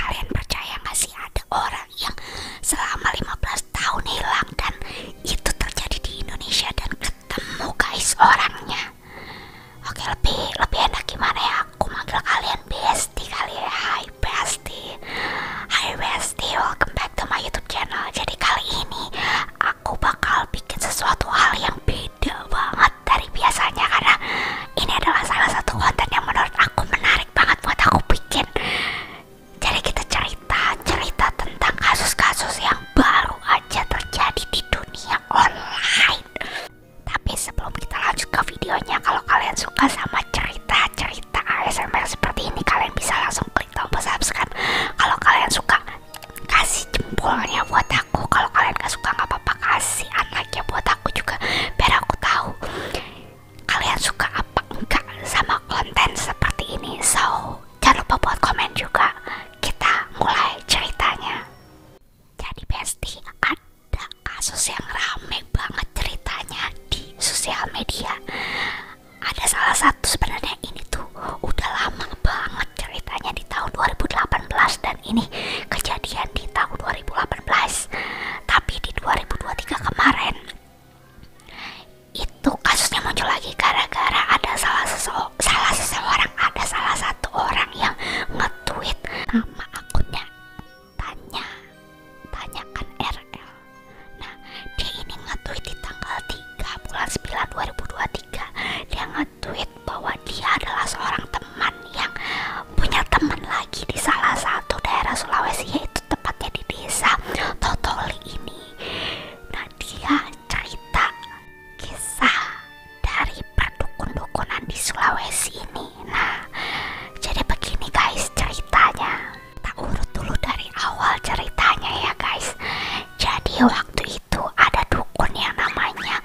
Kalian percaya gak sih ada orang yang selama 15 tahun hilang dan itu terjadi di Indonesia dan ketemu guys orangnya. Oke, lebih lebih enak gimana ya? Aku manggil kalian bestie kali ya. Hai bestie. Hai bestie, welcome back to my YouTube channel. Jadi kali ini aku bakal bikin sesuatu hal yang beda banget dari biasanya karena ini adalah salah satu konten yang menurut aku menarik banget buat aku bikin. Jadi kita cerita cerita tentang kasus-kasus yang baru aja terjadi di dunia online. Tapi sebelum kita lanjut ke videonya, kalau kalian suka sama cerita-cerita ASMR seperti ini, kalian bisa langsung klik tombol subscribe. Kalau kalian suka, kasih jempolnya buat aku. Kalau kalian gak suka nggak apa-apa, kasih anaknya buat aku aku juga biar aku tahu kalian suka apa enggak sama konten seperti ini so jangan lupa buat komen juga kita mulai ceritanya jadi bestie ada kasus yang rame banget ceritanya di sosial media ada salah satu sebenarnya ini tuh udah lama banget ceritanya di tahun 2018 dan kejadian ini kejadian di tahun 2018 tapi di 2023 kemarin itu kasusnya muncul lagi gara-gara ada salah salah seseorang ada salah satu orang yang nge-tweet nama akunnya tanya tanyakan RL nah dia ini nge-tweet di tanggal 3 bulan 9 2023 dia nge-tweet bahwa dia adalah seorang teman yang punya teman lagi di salah satu daerah Sulawesi yaitu tempatnya di desa Totoli ini. Nah dia cerita kisah dari perdukun-dukunan di Sulawesi ini. Nah jadi begini guys ceritanya. Tak urut dulu dari awal ceritanya ya guys. Jadi waktu itu ada dukun yang namanya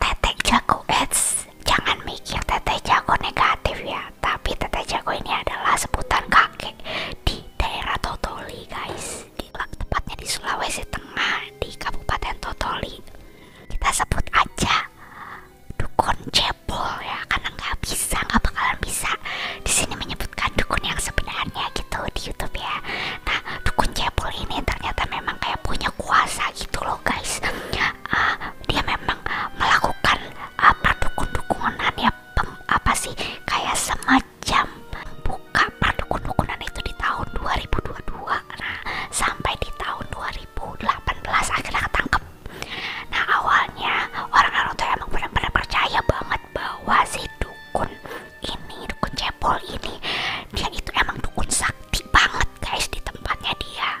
teteh jago ads jangan mikir teteh jago negatif ya tapi teteh jago ini adalah sebutan kakek di daerah Totoli guys di, tepatnya di Sulawesi Tengah di Kabupaten Totoli kita sebut aja dukun cebol ya karena nggak bisa nggak bakalan bisa di sini menyebutkan dukun yang sebenarnya gitu di YouTube ya nah dukun cebol ini ternyata memang kayak punya kuasa gitu loh guys Ah, dia memang melakukan ah, perdukun uh, ya apa sih kayak semacam buka perdukun-dukunan itu di tahun 2022 nah sampai di tahun 2018 akhirnya ketangkep nah awalnya orang-orang tuh emang benar-benar percaya banget bahwa si dukun ini dukun cebol ini dia itu emang dukun sakti banget guys di tempatnya dia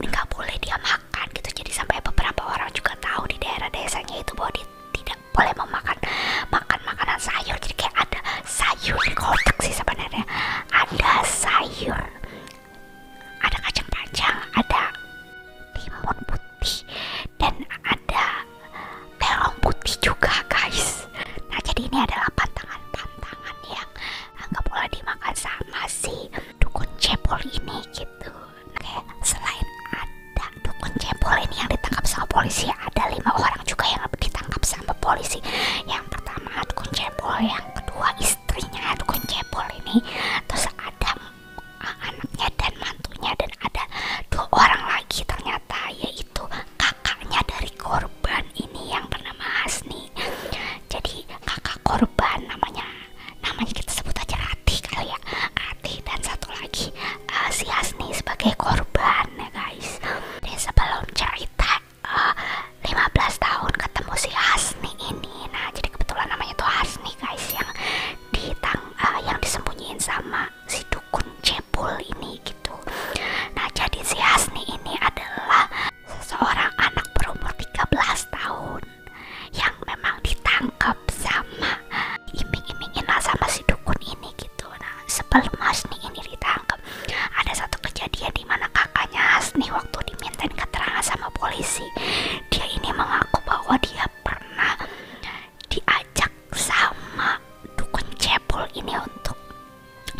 nggak boleh dia makan gitu jadi sampai beberapa orang juga tahu di daerah desanya itu bahwa dia tidak boleh memakan makan makanan sayur jadi kayak ada sayur di kotak sih sebenarnya ada sayur ada kacang kacang ada timun putih dan ada terong putih juga guys nah jadi ini adalah pantangan-pantangan yang nggak boleh dimakan sama si dukun cepol ini gitu Ngek selain ada dukun cepol ini yang ditangkap sama polisi ada lima orang juga yang ditangkap sama polisi yang pertama dukun cepol yang kedua istrinya dukun cepol ini terus ada anaknya dan mantunya dan ada dua orang lagi ternyata yaitu kakaknya dari korban ini yang bernama Hasni jadi kakak korban namanya namanya kita sebut aja Rati kali ya Rati dan satu lagi eh, si Asni sebagai korban ya guys dan sebelum cerita uh, eh, 15 tahun ketemu si Asni ini nah jadi kebetulan namanya itu Asni guys yang ditang eh, yang disembunyiin sama si dukun Jebul ini gitu nah jadi si Asni ini adalah seseorang anak berumur 13 tahun yang memang ditangkap sama iming-imingin lah sama si dukun ini gitu nah sebelum nih ini ditangkap ada satu kejadian di mana kakaknya Hasni waktu dimintain keterangan sama polisi dia ini mengaku bahwa dia pernah diajak sama dukun cebol ini untuk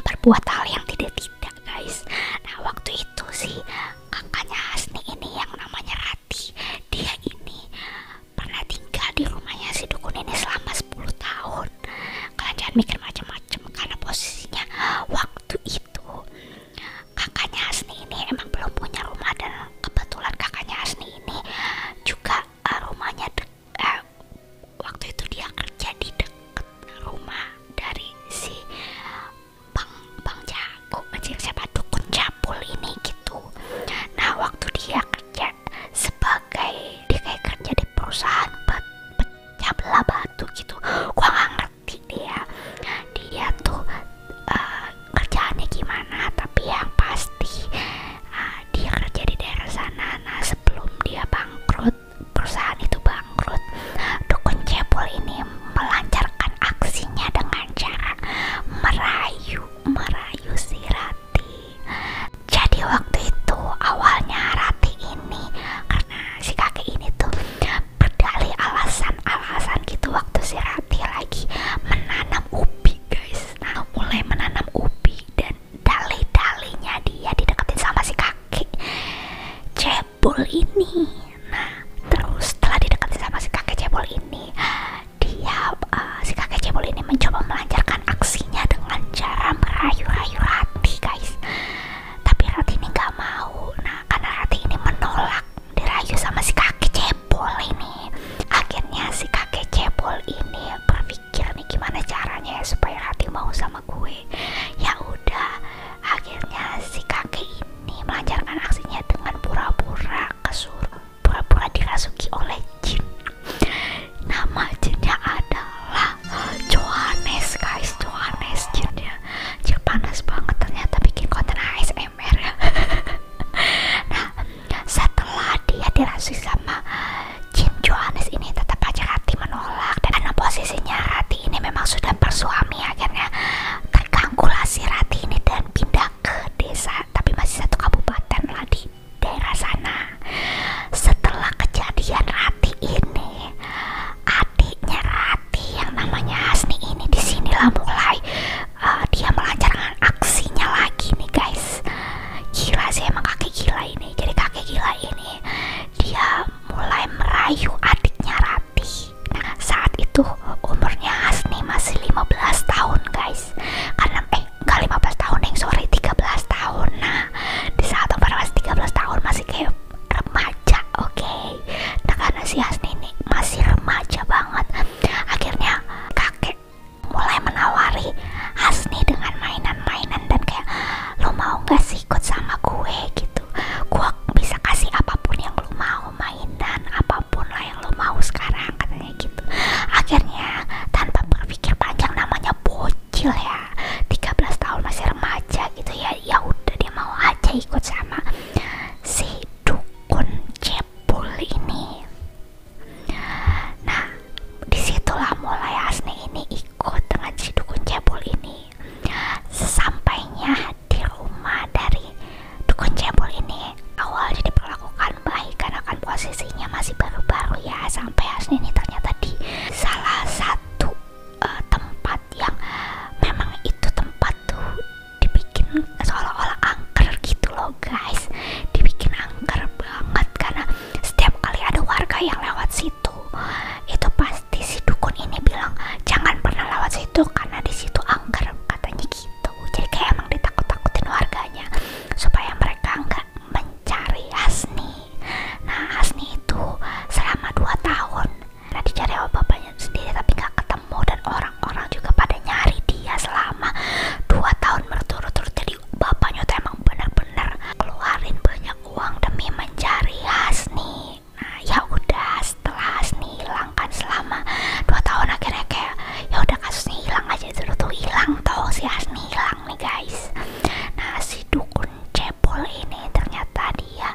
berbuat hal yang tidak-tidak guys nah waktu itu sih kakaknya Hasni ini yang namanya Rati dia ini pernah tinggal di rumahnya si dukun ini selama 10 tahun kalian jangan mikir macam-macam karena posisinya waktu itu kakaknya Hasni ini emang belum punya rumah dan kebetulan kakaknya Hasni ini juga uh, rumahnya dek, uh, waktu itu dia kerja di dekat rumah dari si eh, bang bang jago siapa dukun capul ini gitu nah waktu dia kerja sebagai dia kayak kerja di perusahaan pe, pe, belah batu gitu gua ngerti dia dia tuh uh, kerjaannya gimana tapi yang pasti eh, dia kerja di daerah sana nah sebelum dia bangkrut perusahaan itu bangkrut. Dukun Jebol ini melancarkan aksinya dengan cara merayu, merayu si Rati. Jadi waktu itu awalnya Rati ini karena si kakek ini tuh berdalih alasan-alasan gitu waktu si Rati lagi menanam ubi guys. Nah mulai menanam ubi dan dalih-dalihnya dia dideketin sama si kakek. Jadi cebol ini nah terus setelah didekati sama si kakek cebol ini dia uh, si kakek cebol ini mencoba melancarkan aksinya dengan cara merayu-rayu Rati guys tapi Rati ini nggak mau nah karena Rati ini menolak dirayu sama si kakek cebol ini akhirnya si kakek cebol ini berpikir nih gimana caranya ya supaya Rati mau sama gue ya udah akhirnya si kakek ini melancarkan aksinya dengan pura-pura kesuruh pura-pura dirasuki oleh jin nama jinnya adalah Johannes guys Johannes jinnya jin panas banget ternyata bikin konten ASMR ya nah setelah dia dirasuki sama jin Johannes ini tetap aja hati menolak menolak dan karena posisinya Rati ini memang sudah bersuami akhirnya terganggu lah si Rati ini dan pindah ke desa tapi masih satu kabupaten lah di daerah sana setelah kejadian Rati ini adiknya Rati yang namanya Hasni ini disinilah mulai uh, dia melancarkan aksinya lagi nih guys gila sih emang kakek gila ini jadi kakek gila ini dia mulai merayu adiknya Rati. saat itu umurnya Asni masih 15 tahun, guys. Karena eh enggak 15 tahun, yang sorry 13 tahun. Nah, di saat umur masih 13 tahun masih kayak remaja, oke. Okay? Nah, karena si Hasni ini masih remaja banget. Akhirnya kakek mulai menawari Asni dengan mainan-mainan dan kayak lo mau gak sih ikut sama gue gitu gue bisa kasih apapun yang lo mau mainan apapun lah yang lo mau sekarang katanya gitu akhirnya tanpa berpikir panjang namanya bocil ya 13 tahun masih remaja gitu ya ya udah dia mau aja ikut sama si dukun jebol ini nah disitulah mulai Asni ini ikut dengan si dukun jebol ini ini di rumah dari dukun cebol ini awalnya diperlakukan baik karena kan posisinya masih baru-baru ya sampai Hasni ini ternyata di salah satu eh, tempat yang memang itu tempat tuh dibikin seolah-olah angker gitu loh guys dibikin angker banget karena setiap kali ada warga yang lewat sini situ itu pasti si dukun ini bilang jangan pernah lewat situ karena di situ angker katanya gitu jadi kayak emang ditakut-takutin warganya supaya mereka nggak mencari Hasni nah Hasni itu selama 2 tahun nanti dicari apa bapaknya sendiri tapi nggak ketemu dan orang-orang juga pada nyari dia selama 2 tahun berturut-turut jadi bapaknya tuh emang bener-bener keluarin banyak uang demi mencari Hasni nah ya udah setelah Hasni hilang kan selama dua tahun akhirnya kayak ya udah kasusnya hilang aja dulu tuh hilang toh si Hasni hilang nih guys nah si dukun cebol ini ternyata dia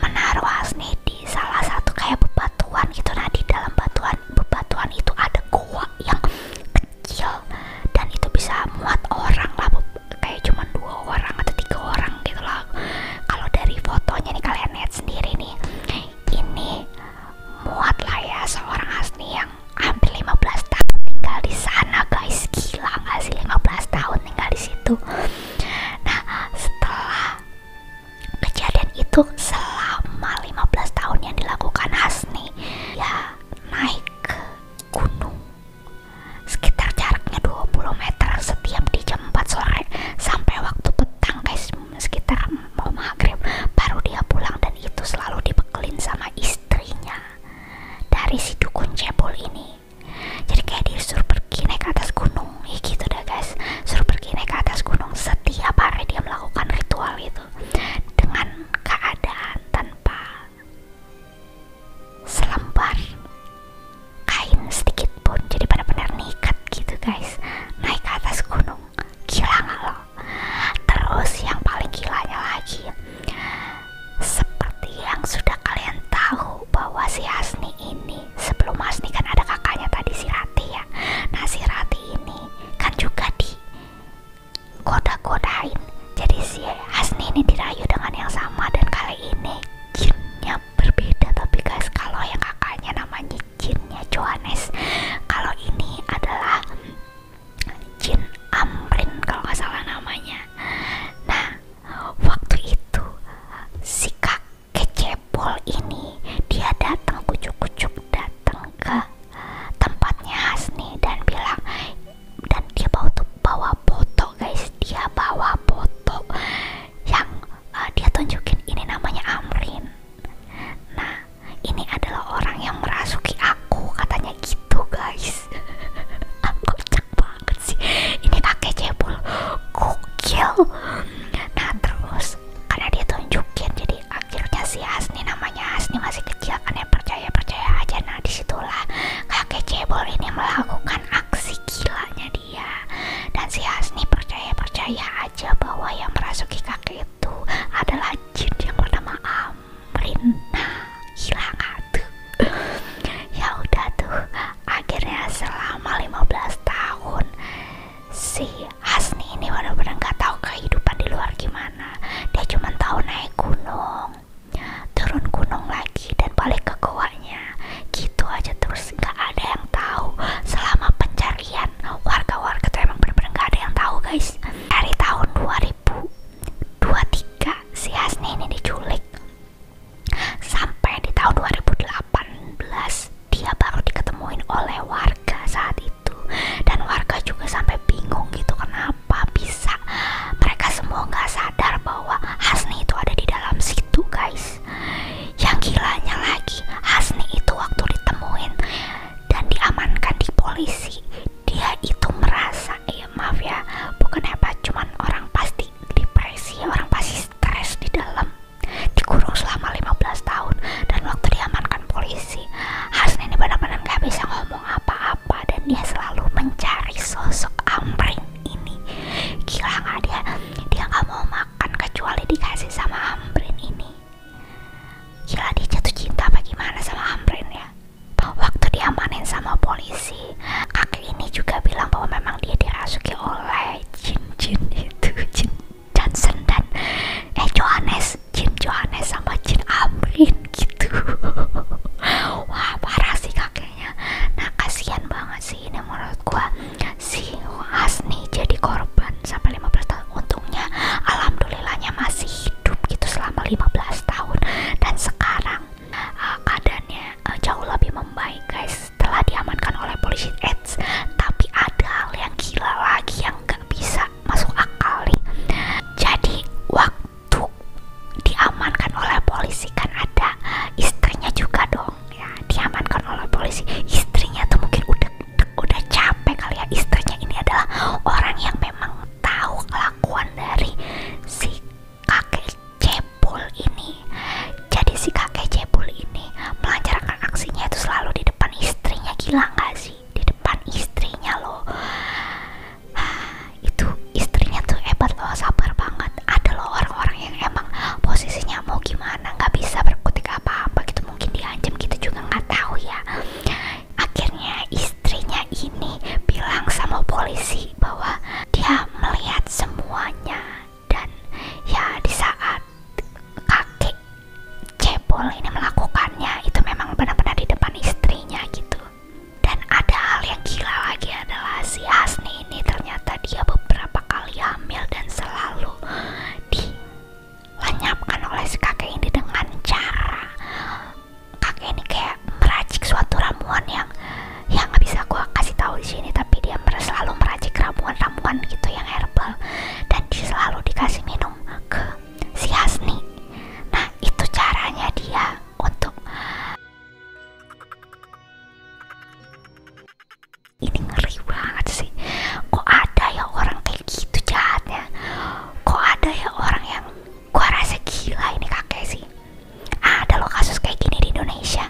menaruh Hasni di salah satu kayak bebatuan gitu nah di dalam bebatuan bebatuan itu ada goa yang kecil dan itu bisa muat orang lah kayak cuman dua orang atau tiga orang gitu lah kalau dari fotonya nih kalian lihat sendiri nih ini muat lah ya seorang Hasni yang hampir lima belas tahun tinggal di sana guys gila gak sih belas tahun tinggal di situ nah setelah kejadian itu selama lima belas tahun yang dilakukan Hasni ya naik ke gunung sekitar jaraknya 20 meter setiap di jam 4 sore sampai waktu petang guys sekitar mau maghrib baru dia pulang dan itu selalu dibekelin sama istrinya dari si dukun cebol ini jadi kayak disuruh pergi naik ke atas gunung gitu deh guys suruh pergi naik ke atas gunung setiap hari dia melakukan ritual itu dengan keadaan tanpa selembar kain sedikit pun jadi benar-benar nikat gitu guys naik ke atas gunung gila nggak lo terus yang paling gilanya lagi seperti yang sudah kalian tahu bahwa si Hasni ini sebelum Hasni kan ada kakaknya tadi si Rati ya nah si ini kan juga di goda-godain jadi si Hasni ini dirayu dengan yang sama dan kali ini jinnya berbeda tapi guys kalau yang kakaknya namanya jinnya Johannes kalau ini adalah jin Amrin kalau nggak salah namanya nah waktu itu si kakek cebol ini dia datang kucuk-kucuk datang ke tempatnya Hasni dan bilang dan dia bawa tuh bawa foto guys dia bawa foto yang uh, dia tunjukin ini namanya Amrin nah ini adalah orang yang merasuki aku katanya gitu guys Aku cek banget sih ini kakek cebol gokil nah terus karena dia tunjukin jadi akhirnya si Asni namanya Asni masih kecil kan ya percaya percaya aja nah disitulah kakek cebol ini melakukan aksi gilanya dia dan si Hasni percaya percaya aja bahwa yang merasuki kakek itu adalah jin yang bernama Amrin nah gila gak tuh ya udah tuh akhirnya selama lima belas tahun si Hasni ini benar-benar nggak tahu kehidupan di luar gimana dia cuma tahu naik gunung turun gunung lagi dan balik ke goanya gitu aja terus nggak ada yang tahu selama pencarian warga-warga tuh emang bener-bener nggak ada yang tahu guys dari tahun 2023 si Asni ini diculik sampai di tahun 2018 dia baru diketemuin oleh warga saat itu dan warga juga sampai bingung gitu kenapa bisa mereka semua nggak sadar bahwa Hasni itu ada di dalam situ guys yang gilanya lagi Hasni itu waktu ditemuin dan diamankan di polisi dia itu merasa ya eh, maaf ya bukan apa cuman orang pasti depresi orang pasti stres di dalam dikurung selama 15 tahun dan waktu diamankan polisi Hasni ini benar-benar nggak bisa ngomong apa-apa apa dan dia selalu mencari sosok Amrin ini gila nggak dia dia nggak mau makan kecuali dikasih sama Amrin ini gila dia jatuh cinta apa gimana sama Amrin ya waktu diamanin sama polisi kakek ini juga bilang bahwa memang dia dirasuki oleh jin-jin itu jin Johnson dan eh Johannes Jim Johannes sama Jin Amrin gitu wah parah sih kakeknya nah kasihan banget sih ini menurut gua si Hasni jadi korban sampai lima belas tahun untungnya alhamdulillahnya masih hidup gitu selama lima belas tahun dan sekarang uh, keadaannya uh, jauh lebih membaik guys setelah diamankan oleh polisi AIDS tapi ada hal yang gila lagi yang nggak bisa masuk akal nih jadi waktu diamankan oleh polisi kan ada istrinya juga dong ya diamankan oleh polisi istrinya tuh mungkin udah udah capek kali ya istrinya ini adalah orang yang memang tahu kelakuan dari si kakek cebol ini jadi si kakek cebol ini melancarkan aksinya itu selalu di depan istrinya gila nggak sih di depan istrinya loh ah, itu istrinya tuh hebat loh sabar banget ada loh orang-orang yang emang posisinya mau gimana nggak bisa berkutik apa-apa gitu mungkin diancam gitu juga nggak tahu ya akhirnya istrinya ini bilang sama polisi bahwa dia melihat semuanya dan ya di saat kakek Cepol ini melakukannya itu memang benar-benar di depan istrinya gitu dan ada hal yang gila lagi adalah si Asni ini ternyata dia beberapa kali hamil dan selalu dilenyapkan oleh si kakek ini dengan cara kakek ini kayak meracik suatu ramuan yang yang nggak bisa gue kasih tahu di sini tapi dia selalu meracik ramuan-ramuan gitu yang herbal dan selalu dikasih minum ke si Hasni. Nah, itu caranya dia untuk ini ngeri banget sih. Kok ada ya orang kayak gitu jahatnya? Kok ada ya orang yang gua rasa gila ini kakek sih? Ada loh kasus kayak gini di Indonesia.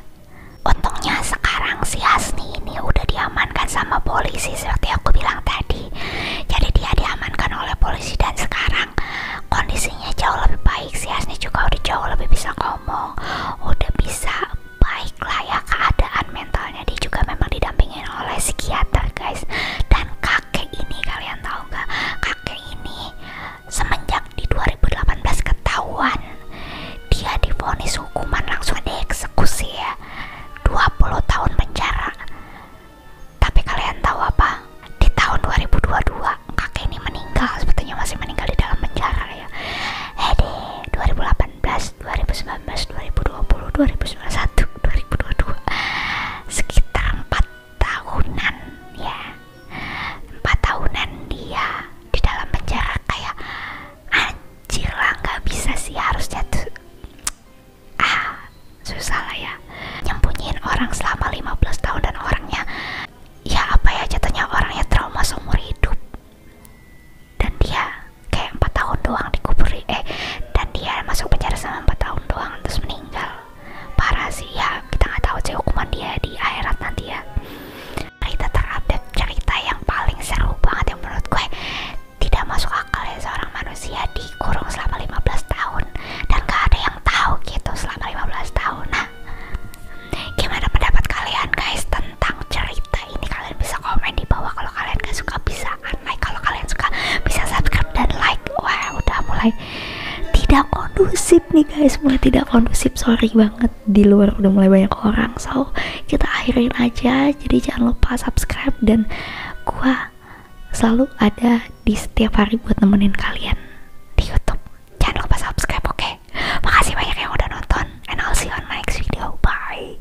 Untungnya sekarang si Hasni ini udah diamankan sama polisi seperti aku bilang tadi jadi dia diamankan oleh polisi dan sekarang kondisinya jauh lebih baik si Asni juga udah jauh lebih bisa ngomong udah bisa baik lah ya keadaan mentalnya dia juga memang didampingin oleh psikiater guys dan kakek ini kalian tahu nggak kakek ini semenjak di 2018 ketahuan dia divonis hukuman langsung dieksekusi ya 20 tahun penjara tapi kalian tahu apa? Di tahun 2022 kakek ini meninggal, sepertinya masih meninggal di dalam penjara ya. Hede, 2018, 2019, 2020, 2021, 2022, sekitar 4 tahunan ya. 4 tahunan dia di dalam penjara kayak anjir lah nggak bisa sih harus jatuh ah susah lah ya nyembunyiin orang selama lima belas tahun dan orangnya ya apa ya jatuhnya orangnya trauma seumur hidup dan dia kayak empat tahun doang dikubur eh dan dia masuk penjara sama empat tahun doang terus meninggal parah sih ya kita nggak tahu sih hukuman dia di akhirat nanti ya cerita terupdate cerita yang paling seru banget yang menurut gue tidak masuk akal ya seorang manusia dikurung selama 15 tahun dan gak ada yang tahu gitu selama 15 tahun nah gimana pendapat kalian guys tentang cerita ini kalian bisa komen di bawah kalau kalian gak suka bisa unlike kalau kalian suka bisa subscribe dan like wah udah mulai tidak kondusif nih guys mulai tidak kondusif sorry banget di luar udah mulai banyak orang so kita akhirin aja jadi jangan lupa subscribe dan Gua selalu ada di setiap hari buat nemenin kalian di YouTube. Jangan lupa subscribe, oke? Okay? Makasih banyak yang udah nonton, and I'll see you on my next video. Bye.